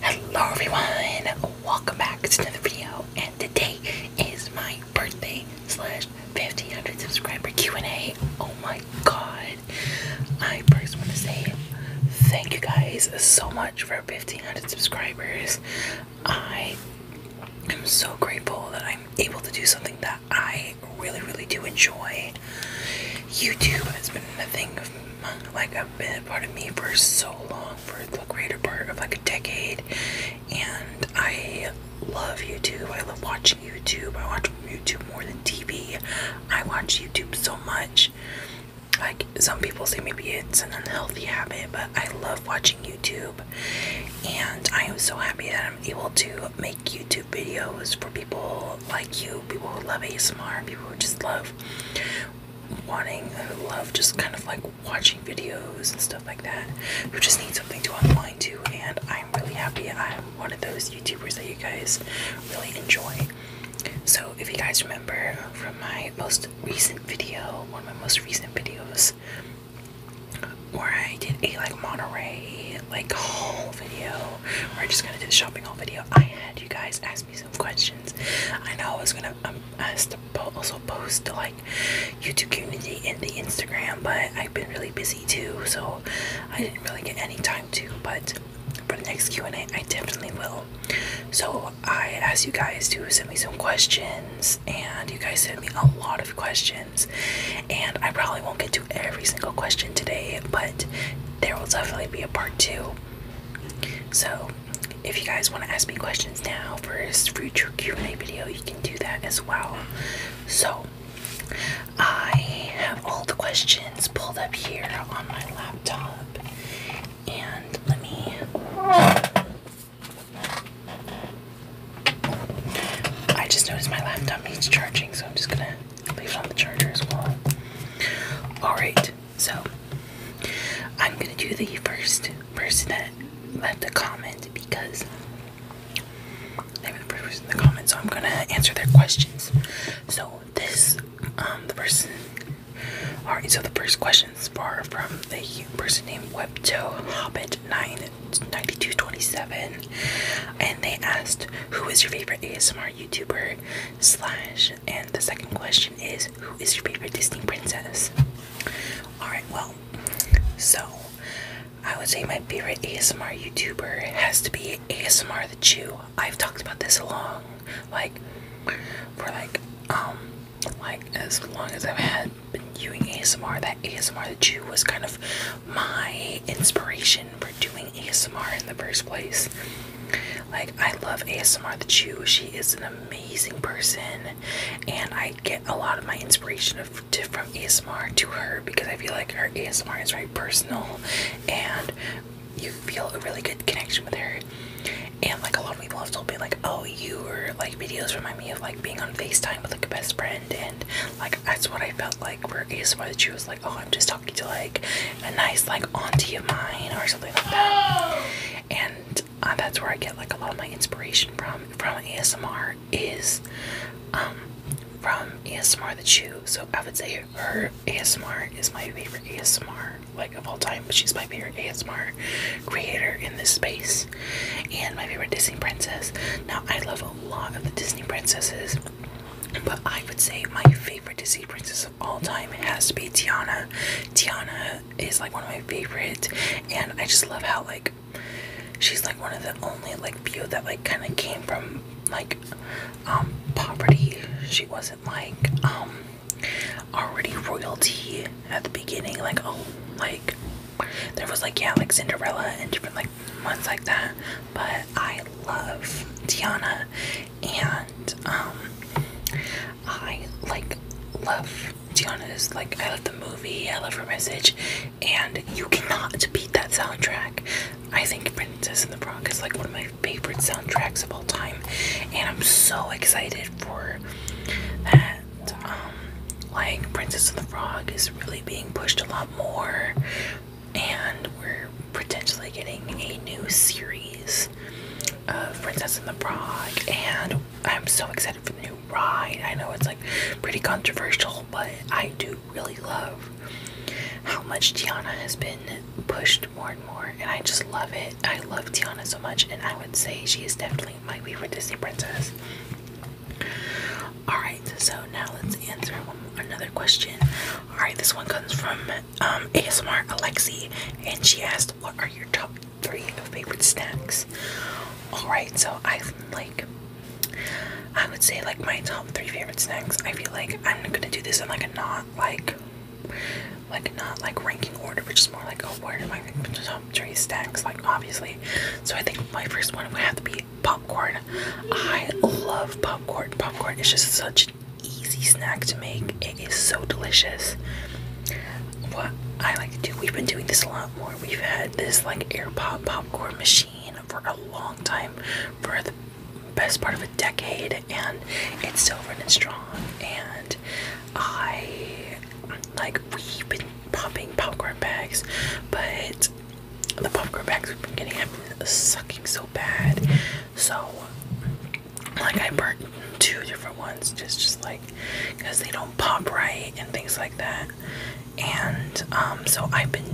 Hello everyone, welcome back to another video and today is my birthday slash 1500 subscriber Q&A. Oh my god. I first want to say thank you guys so much for 1500 subscribers. I am so grateful that I'm able to do something that I really, really do enjoy. YouTube has been a thing of like a been part of me for so long, for the greater part of like a decade, and I love YouTube. I love watching YouTube. I watch YouTube more than TV. I watch YouTube so much like some people say maybe it's an unhealthy habit, but I love watching YouTube and I am so happy that I'm able to make YouTube videos for people like you, people who love ASMR, people who just love wanting who love just kind of like watching videos and stuff like that who just need something to unwind to and I'm really happy I'm one of those YouTubers that you guys really enjoy so, if you guys remember from my most recent video, one of my most recent videos, where I did a like Monterey like haul video, where I just kind of did a shopping haul video, I had you guys ask me some questions. I know I was gonna um, ask to also post to like YouTube community and the Instagram, but I've been really busy too, so I didn't really get any time to. But for the next Q&A, I definitely will. So I asked you guys to send me some questions, and you guys sent me a lot of questions. And I probably won't get to every single question today, but there will definitely be a part two. So, if you guys want to ask me questions now for a future Q&A video, you can do that as well. So, I have all the questions pulled up here on my laptop, and let me. I just noticed my laptop needs charging, so I'm just gonna leave it on the charger as well. Alright, so I'm gonna do the first person that left a comment because they were the first person in the comments, so I'm gonna answer their questions. So this um the person Alright, so the first question is from the person named Webto Hobbit 99227. And they asked, Who is your favorite ASMR YouTuber? Slash, and the second question is, Who is your favorite Disney princess? Alright, well, so I would say my favorite ASMR YouTuber has to be ASMR the Chew. I've talked about this a long like for like um like as long as I've had been doing ASMR, that ASMR that you was kind of my inspiration for doing ASMR in the first place. Like I love ASMR that Chew. She is an amazing person and I get a lot of my inspiration of from ASMR to her because I feel like her ASMR is very personal and you feel a really good connection with her. And like a lot of people have told me like, oh, you your like videos remind me of like being on FaceTime with like a best friend and like that's what I felt like where ASMR that she was like, oh, I'm just talking to like a nice like auntie of mine or something like that. And uh, that's where I get like a lot of my inspiration from from ASMR is um from ASMR that you. So I would say her ASMR is my favorite ASMR like of all time, she's my favorite ASMR creator in this space and my favorite Disney princess. Now I love a lot of the Disney princesses, but I would say my favorite Disney princess of all time has to be Tiana. Tiana is like one of my favorites and I just love how like she's like one of the only like few that like kind of came from like um poverty. She was not like um, already royalty at the beginning like oh like there was like yeah like Cinderella and different like ones like that but I love Tiana and um I like love Tiana is like I love the movie I love her message and you cannot beat that soundtrack I think Princess in the Rock is like one of my favorite soundtracks of all time, and I'm so excited for that. Um, like Princess and the Frog is really being pushed a lot more, and we're potentially getting a new series of Princess and the Frog, and I'm so excited for the new ride. I know it's like pretty controversial, but I do really love how much Tiana has been pushed more and more, and I just love it. I love Tiana so much, and I would say she is definitely my favorite Disney princess. All right, so now let's answer another question. All right, this one comes from um, ASMR Alexi, and she asked, "What are your top three favorite snacks?" All right, so I like. I would say like my top three favorite snacks. I feel like I'm gonna do this in like a not like like not like ranking order, which is more like oh where do my top three stacks like obviously. So I think my first one would have to be popcorn. I love popcorn. Popcorn is just such an easy snack to make. It is so delicious. What I like to do, we've been doing this a lot more. We've had this like air pop popcorn machine for a long time for the best part of a decade and it's silver and it's strong and I like we've been popping popcorn bags but the popcorn bags we've been getting have been sucking so bad so like I burnt two different ones just just like because they don't pop right and things like that and um, so I've been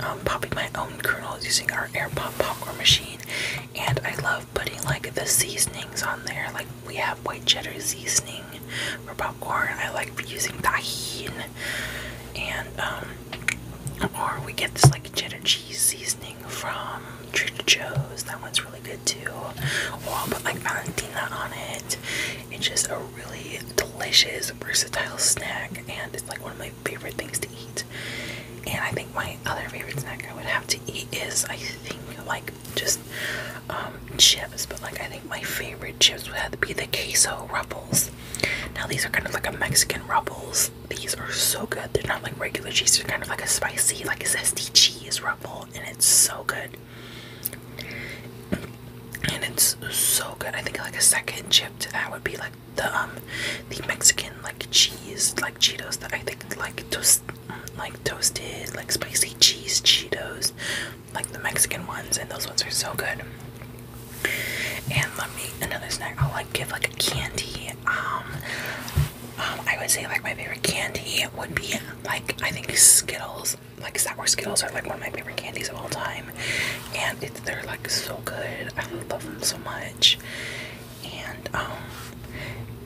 um, popping my own kernels using our air pop popcorn machine and I love putting like the seasonings on there. Like we have white cheddar seasoning for popcorn. I like using tahine, and um, or we get this like cheddar cheese seasoning from Trader Joe's. That one's really good too. Or oh, I'll put like Valentina on it. It's just a really delicious, versatile snack, and it's like one of my favorite things to eat. And I think my other favorite snack I would have to eat is I think like just um, chips, but like I think my favorite chips would have to be the queso ruffles. Now these are kind of like a Mexican ruffles. These are so good. They're not like regular cheese, they're kind of like a spicy, like a zesty cheese ruffle, and it's so good. And it's so good. I think like a second chip to that would be like the um, the Mexican like cheese like Cheetos that I think like tost like toasted, like spicy cheese Cheetos, like the Mexican ones, and those ones are so good. And let me another snack. I'll like give like a candy. Um, um, I would say like my favorite candy would be like I think Skittles. Like sour Skittles are like one of my favorite candies of all time, and it's, they're like so good. I love them so much and um,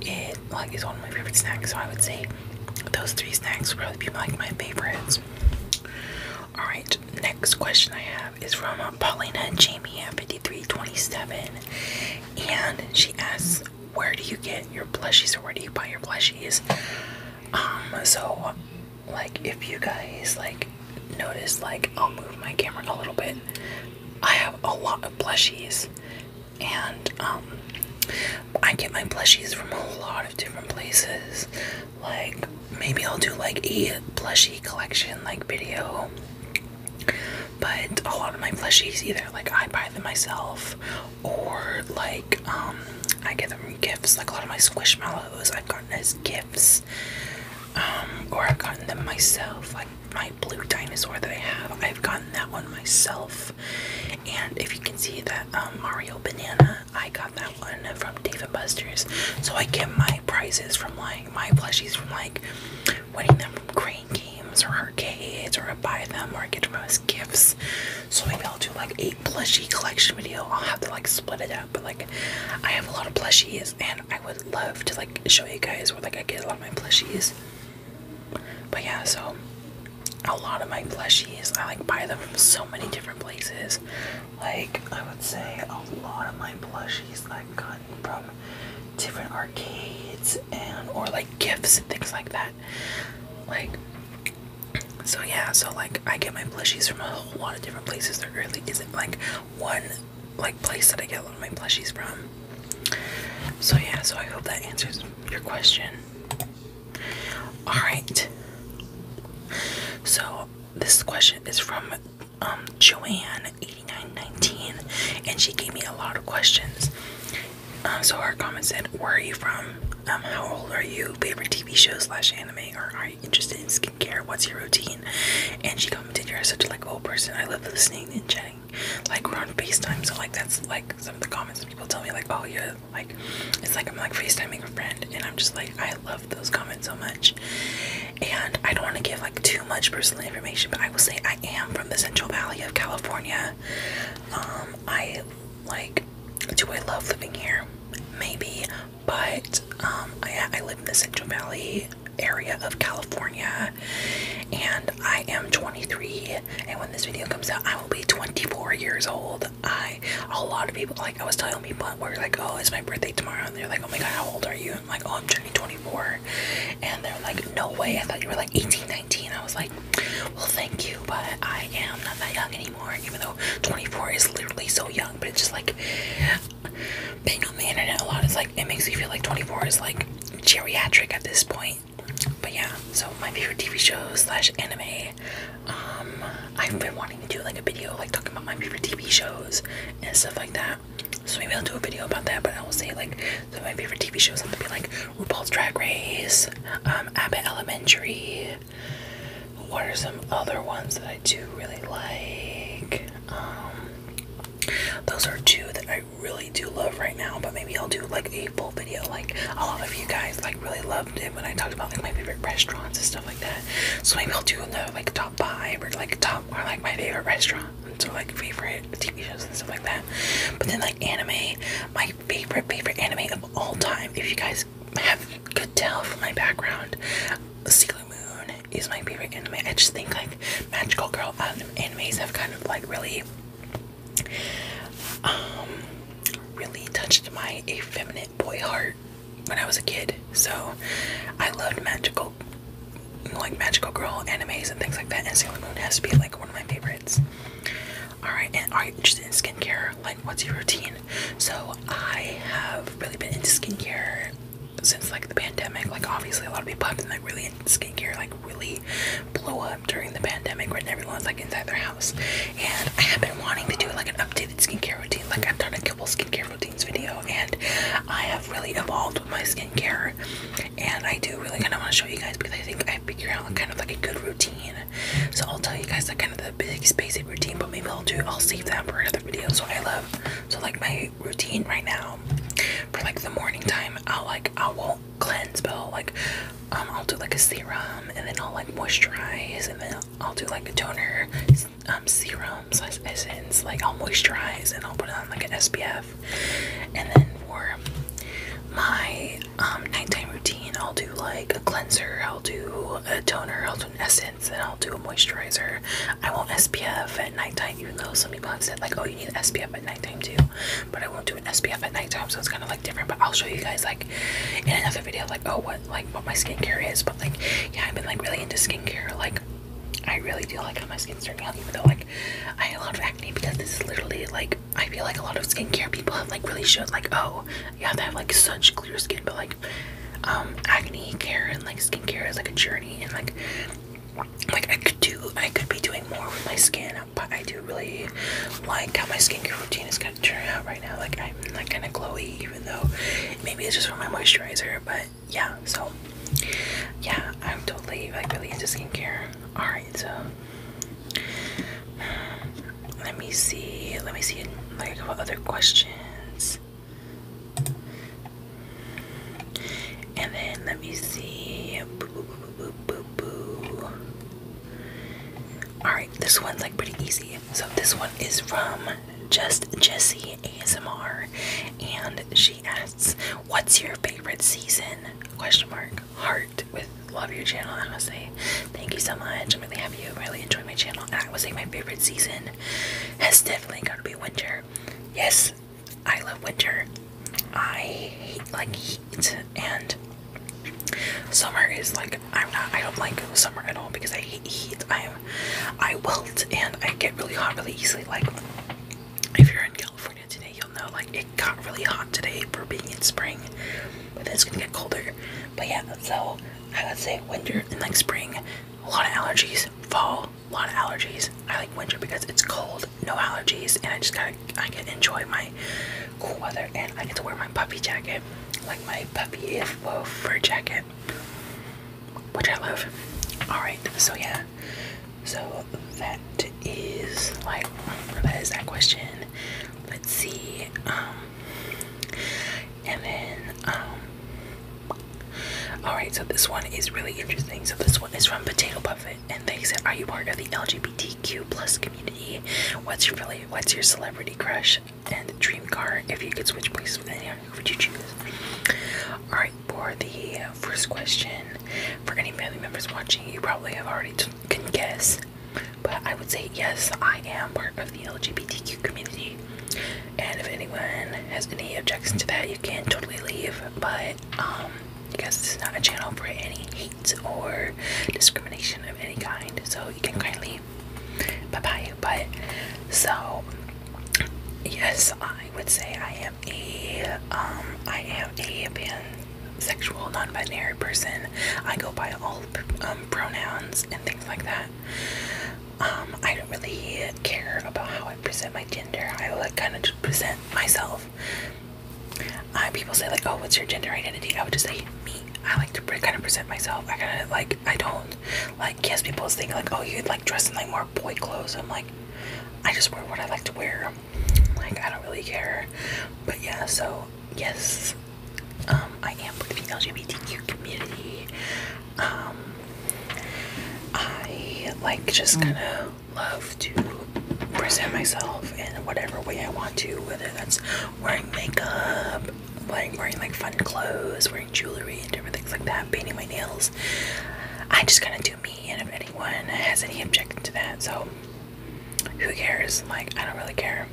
it like is one of my favorite snacks so I would say those three snacks would probably be like my favorites. Alright, next question I have is from Paulina Jamie at 5327 and she asks where do you get your plushies or where do you buy your plushies? Um so like if you guys like notice like I'll move my camera a little bit. I have a lot of plushies and um, I get my plushies from a lot of different places. Like maybe I'll do like a plushie collection like video, but a lot of my plushies either like I buy them myself or like um, I get them gifts. Like a lot of my squishmallows I've gotten as gifts, um, or I've gotten them myself. Like my blue dinosaur that I have. I've gotten that one myself. And if you can see that um, Mario banana, I got that one from David Buster's. So I get my prizes from like my plushies from like winning them from crane games or arcades, or I buy them or I get them as gifts. So maybe I'll do like a plushie collection video. I'll have to like split it up, but like I have a lot of plushies, and I would love to like show you guys where like I get a lot of my plushies. But yeah, so a lot of my plushies, I like buy them from so many different places. Like I would say a lot of my plushies I've gotten from different arcades and or like gifts and things like that. Like so yeah, so like I get my plushies from a whole lot of different places. There really isn't like one like place that I get all my plushies from. So, yeah, so I hope that answers your question. Alright. So, this question is from um, Joanne8919, and she gave me a lot of questions. Um, so, her comment said, Where are you from? Um, how old are you? Favorite TV show slash anime? Or are you interested in skincare? What's your routine? And she commented, You're such a like person. I love listening and chatting like we're on FaceTime. So like that's like some of the comments people tell me like, oh yeah, like it's like I'm like FaceTiming a friend, and I'm just like I love those comments so much. And I don't want to give like too much personal information, but I will say I am from the Central Valley of California. Um, I like do I love living here? Maybe, but um, I I live in the Central Valley area of California, and I am 23. And when this video comes out, I will be 24 years old. I a lot of people like I was telling people are like, oh, it's my birthday tomorrow, and they're like, oh my god, how old are you? I'm like, oh, I'm turning 24, and they're like, no way, I thought you were like 18, 19. I was like, well, thank you, but I am not that young anymore. Even though 24 is literally so young, but it's just like being on the internet a lot is like it makes me feel like 24 is like geriatric at this point but yeah, so my favorite TV shows slash anime. Um, I've been wanting to do like a video like talking about my favorite TV shows and stuff like that. So maybe I'll do a video about that. But I will say like some of my favorite TV shows have to be like RuPaul's Drag Race, um, Abbott Elementary. What are some other ones that I do really like? Um, those are two that I really do love right now, but maybe I'll do like a full video. Like a lot of you guys like really loved it when I talked about like my favorite restaurants and stuff like that. So maybe I'll do another like top five or like top or like my favorite restaurants So like favorite TV shows and stuff like that. But then like anime, my favorite favorite anime of all time. If you guys have could tell from my background, Sailor Moon is my favorite anime. I just think like magical girl animes have kind of like really um, really touched my effeminate boy heart when I was a kid. So I loved magical, like magical girl animes and things like that. And Sailor Moon has to be like one of my favorites. All right, and are you interested in skincare? Like, what's your routine? So I have really been into skincare since like the pandemic. Like, obviously, a lot of people have been like really into skincare, like really blow up during the pandemic when everyone's like inside their house. And I have been wanting to do like an updated skincare routine. Like I've done a couple skincare routines video and I have really evolved with my skincare. And I do really kind of want to show you guys because I think I figure out kind of like a good routine. So I'll tell you guys like kind of the basic basic routine, but maybe I'll do I'll save that for another video. So I love so like my routine right now for like the morning time. I'll like I will cleanse, but I'll like um, I'll do like a serum and then I'll like moisturize and then I'll do like a toner um serum essence. Like I'll moisturize and I'll put on like an SPF. And then for my um nighttime routine I'll do like a cleanser, I'll do a toner, I'll do an essence, and I'll do a moisturizer. I won't SPF at nighttime even though some people have said like oh you need an SPF at nighttime too. But I won't do an SPF at nighttime, so it's kind of like different. But I'll show you guys like in another video, like oh what like what my skincare is. But like yeah, I've been like really into skincare. Like I really do like how my skin's turning out, even though like I have a lot of acne because this is literally like I feel like a lot of skincare people have like really showed like oh yeah, they have like such clear skin, but like um acne care and like skincare is like a journey and like like I could do, I could be doing more with my skin, but I do really like how my skincare routine is kind of turning out right now. Like I'm like kind of glowy, even though maybe it's just from my moisturizer. But yeah, so yeah, I'm totally like really into skincare. All right, so let me see, let me see like what other questions. And then let me see. Alright, this one's like pretty easy. So, this one is from Just Jessie ASMR, and she asks, What's your favorite season? Question mark. Heart with love your channel, I must say. Thank you so much. I'm really happy you really enjoy my channel. I would say my favorite season has definitely got to be winter. Yes, I love winter. I hate like heat and summer is like I'm not I don't like summer at all because I hate heat. I am I wilt and I get really hot really easily. Like if you're in California today you'll know like it got really hot today for being in spring. But then it's gonna get colder. But yeah, so I would say winter and like spring, a lot of allergies, fall, a lot of allergies. I like winter because it's cold no allergies, and I just gotta I can enjoy my cool weather and I get to wear my puppy jacket, like my puppy is wool fur jacket, which I love. Alright, so yeah. So that is like that is that question. Let's see. Um, and then um, Alright, so this one is really interesting. So this one is from Potato Puff and they said, "Are you part of the LGBTQ plus community? What's your really, what's your celebrity crush and dream car? If you could switch places with anyone, who would you choose?" All right, for the first question, for any family members watching, you probably have already can guess, but I would say yes, I am part of the LGBTQ community. And if anyone has any objection to that, you can totally leave. But um, because this is not a channel for any hate or discrimination of any kind, so you can kindly bye bye. But so, yes, I would say I am a um, I am a pansexual, non-binary person. I go by all um, pronouns and things like that. Um, I don't really care about how I present my gender. I like kind of just present myself um, people say like, oh, what's your gender identity? I would just say me. I like to kind of present myself. I kind of like, I don't like, yes, people think like, oh, you'd like dress in like more boy clothes. I'm like, I just wear what I like to wear. Like, I don't really care. But yeah, so yes, um, I am with the LGBTQ community. Um, I like just mm. kind of love to present myself in whatever way I want to, whether that's wearing makeup, like wearing like fun clothes, wearing jewelry and different things like that, painting my nails. I just kind of do me, and if anyone has any objection to that, so who cares? Like, I don't really care.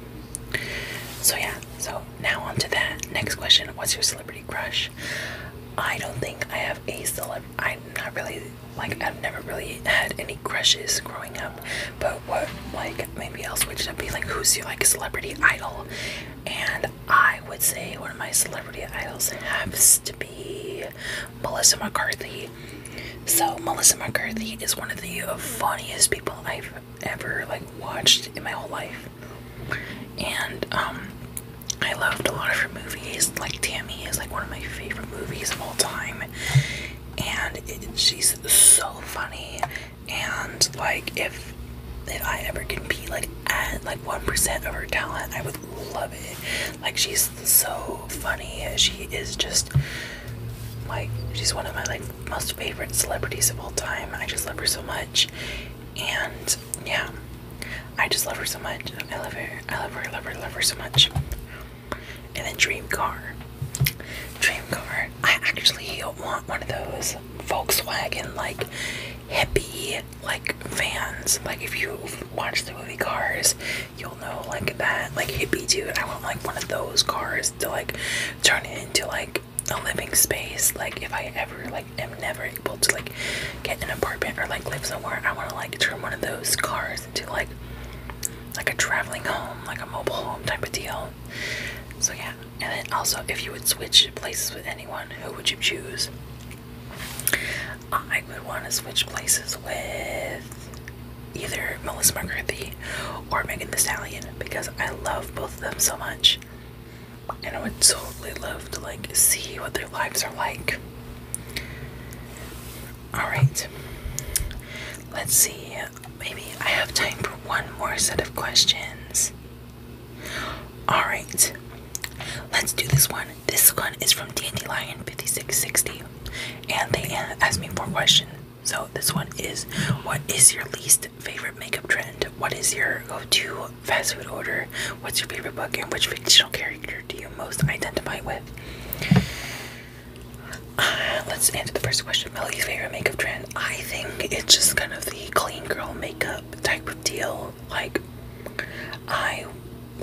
So, yeah, so now on to that. Next question What's your celebrity crush? I don't think I have a celeb. I'm not really like I've never really had any crushes growing up, but what like maybe I'll switch it up be like who's your like celebrity idol? And I would say one of my celebrity idols has to be Melissa McCarthy. So Melissa McCarthy is one of the funniest people I've ever like watched in my whole life. And um I loved a lot of movies. Like Tammy is like one of my favorite movies of all time, and she's so funny. And like if if I ever can be like at like one percent of her talent, I would love it. Like she's so funny. She is just like she's one of my like most favorite celebrities of all time. I just love her so much, and yeah, I just love her so much. I love her. I love her. I love her. I love her so much. And a dream car. Dream car. I actually want one of those Volkswagen like hippie like vans. Like if you watch the movie Cars, you'll know like that like hippie dude. I want like one of those cars to like turn it into like a living space. Like if I ever like am never able to like get an apartment or like live somewhere, I want to like turn one of those cars comparison to like like a traveling home, like a mobile home type of deal. So yeah, and then also if you would switch places with anyone, who would you choose? I would want to switch places with either Melissa McCarthy or Megan Thee Stallion because I love both of them so much, and I would totally love to like see what their lives are like. Alright. Let's see. Maybe I have time for one more set of questions. Alright. Let's do this one. This one is from Dandelion5660. And they asked me four questions. So this one is what is your least favorite makeup trend? What is your go-to fast food order? What's your favorite book and which fictional character do you most identify with? let's answer the first question. Melly's favorite makeup trend. I think it's just kind of the clean girl makeup type of deal. Like, I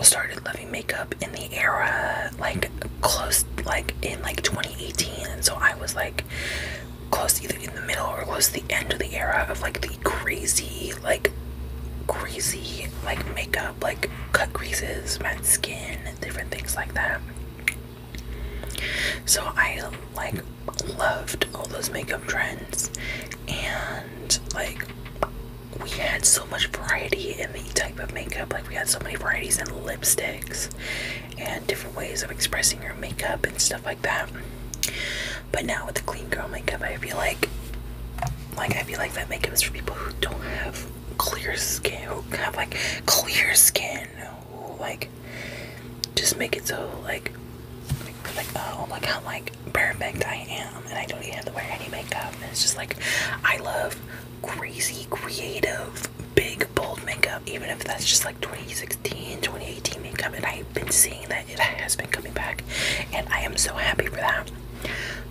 started loving makeup in the era, like, close, like, in like 2018. so I was like, close either in the middle or close the end of the era of like the crazy, like, crazy, like, makeup, like, cut creases, matte skin, different things like that. So I like loved all those makeup trends and like we had so much variety in the type of makeup like we had so many varieties in lipsticks and different ways of expressing your makeup and stuff like that but now with the clean girl makeup i feel like like i feel like that makeup is for people who don't have clear skin who have like clear skin who like just make it so like like, like uh, oh like how like perfect I am and I don't even have to wear any makeup it's just like I love crazy creative big bold makeup even if that's just like 2016 2018 makeup and I've been seeing that it has been coming back and I am so happy for that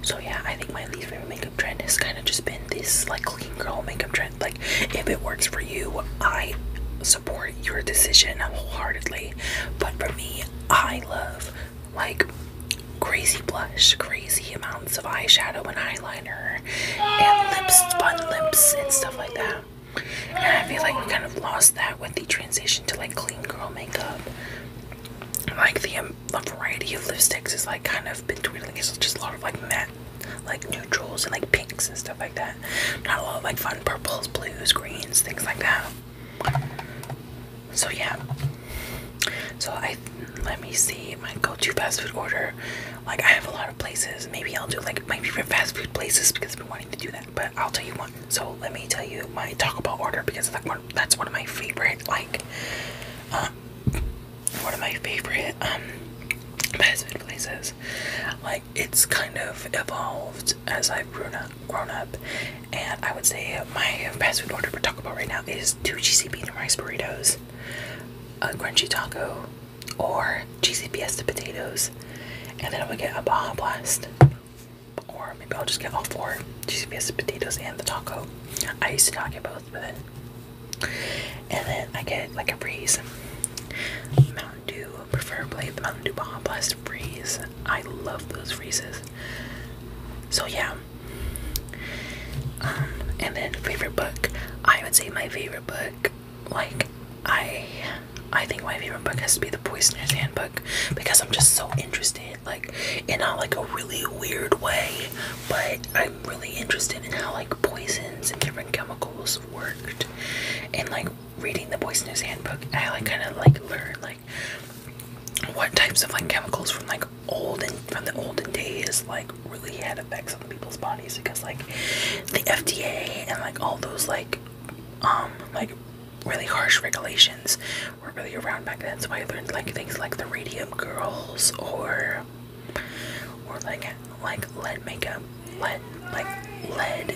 so yeah, I think my least favorite makeup trend has kind of just been this like clean girl makeup trend. Like if it works for you, I support your decision wholeheartedly. But for me, I love like crazy blush, crazy amounts of eyeshadow and eyeliner and lips, fun lips and stuff like that. And I feel like we kind of lost that with the transition to like clean girl makeup. Like the um, variety of lipsticks has like kind of been dwindling. It's just a lot of like matte, like neutrals and like pinks and stuff like that. Not a lot of like fun purples, blues, greens, things like that. So yeah. So I let me see my go-to fast food order. Like I have a lot of places. Maybe I'll do like my favorite fast food places because I've been wanting to do that. But I'll tell you one. So let me tell you my Taco Bell order because like that's one of my favorite like um, one of my favorite fast um, food places. Like it's kind of evolved as I've grown up grown up and I would say my fast food order for Taco Bell right now is two cheesy bean and rice burritos, a crunchy taco, or cheesy fiesta potatoes, and then I would get a Baja Blast. Or maybe I'll just get all four cheesy fiesta potatoes and the taco. I used to not get and then I get like a breeze. Mountain Dew, preferably the Mountain Dew Baja Blast Freeze. I love those freezes. So yeah. Um, and then favorite book. I would say my favorite book, like I I think my favorite book has to be the Poisoner's Handbook because I'm just so interested like in not like a really weird way, but I'm really interested in how like poisons and different chemicals worked. And like reading the poisoners handbook, I like kind of like learned like what types of like chemicals from like old and from the olden days like really had effects on people's bodies because like the FDA and like all those like um like really harsh regulations were really around back then. So I learned like things like the Radium Girls or or like like lead makeup, lead like lead,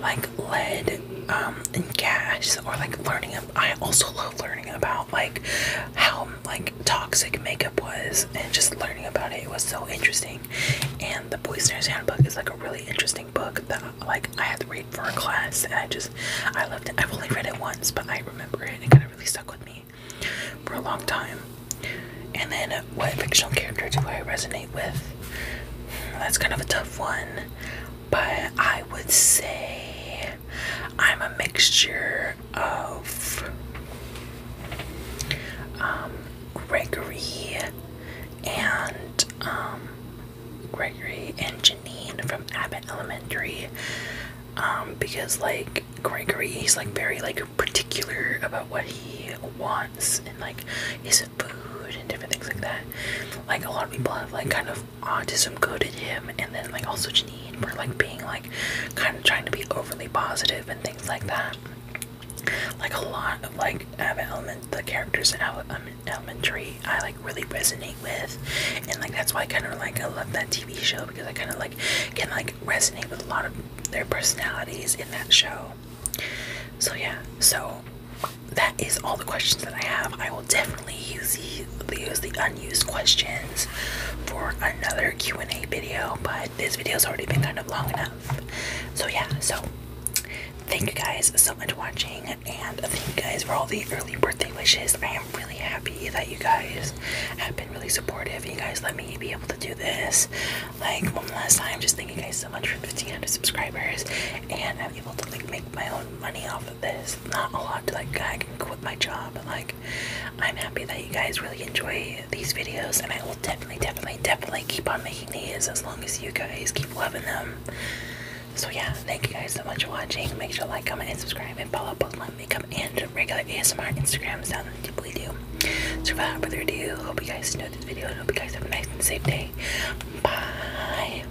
like lead um and gas, or like learning. I also love learning about like how like toxic makeup was, and just learning about it, it was so interesting. And the Poisoner's Handbook is like a really interesting book that like I had to read for a class, and I just I loved it. I've only read it once, but I remember it, and it kind of really stuck with me for a long time. And then, uh, what fictional character do I resonate with? Hmm, that's kind of a tough one, but I would say I'm a mixture of um, Gregory and um, Gregory and Janine from Abbott Elementary um, because like Gregory he's like very like particular about what he wants and like his food and different things like that. Like a lot of people have like kind of autism coded him and then like also Janine for like being like kind of trying to be overly positive and things like that. Like a lot of like Abbott Element the characters in Abbott um, Elementary, I like really resonate with, and like that's why I kind of like I love that TV show because I kind of like can like resonate with a lot of their personalities in that show. So yeah, so that is all the questions that I have. I will definitely use the use the unused questions for another Q and A video, but this video has already been kind of long enough. So yeah, so. Thank you guys so much for watching and thank you guys for all the early birthday wishes. I am really happy that you guys have been really supportive. You guys let me be able to do this. Like one last time, just thank you guys so much for 1500 subscribers, and I'm able to like make my own money off of this. Not a lot to like. I can quit my job, like I'm happy that you guys really enjoy these videos, and I will definitely, definitely, definitely keep on making these as long as you guys keep loving them. So yeah, thank you guys so much for watching. Make sure to like, comment, and subscribe, and follow both my makeup and regular ASMR Instagrams down in deeply do. So without further ado, hope you guys enjoyed this video and hope you guys have a nice and safe day. Bye.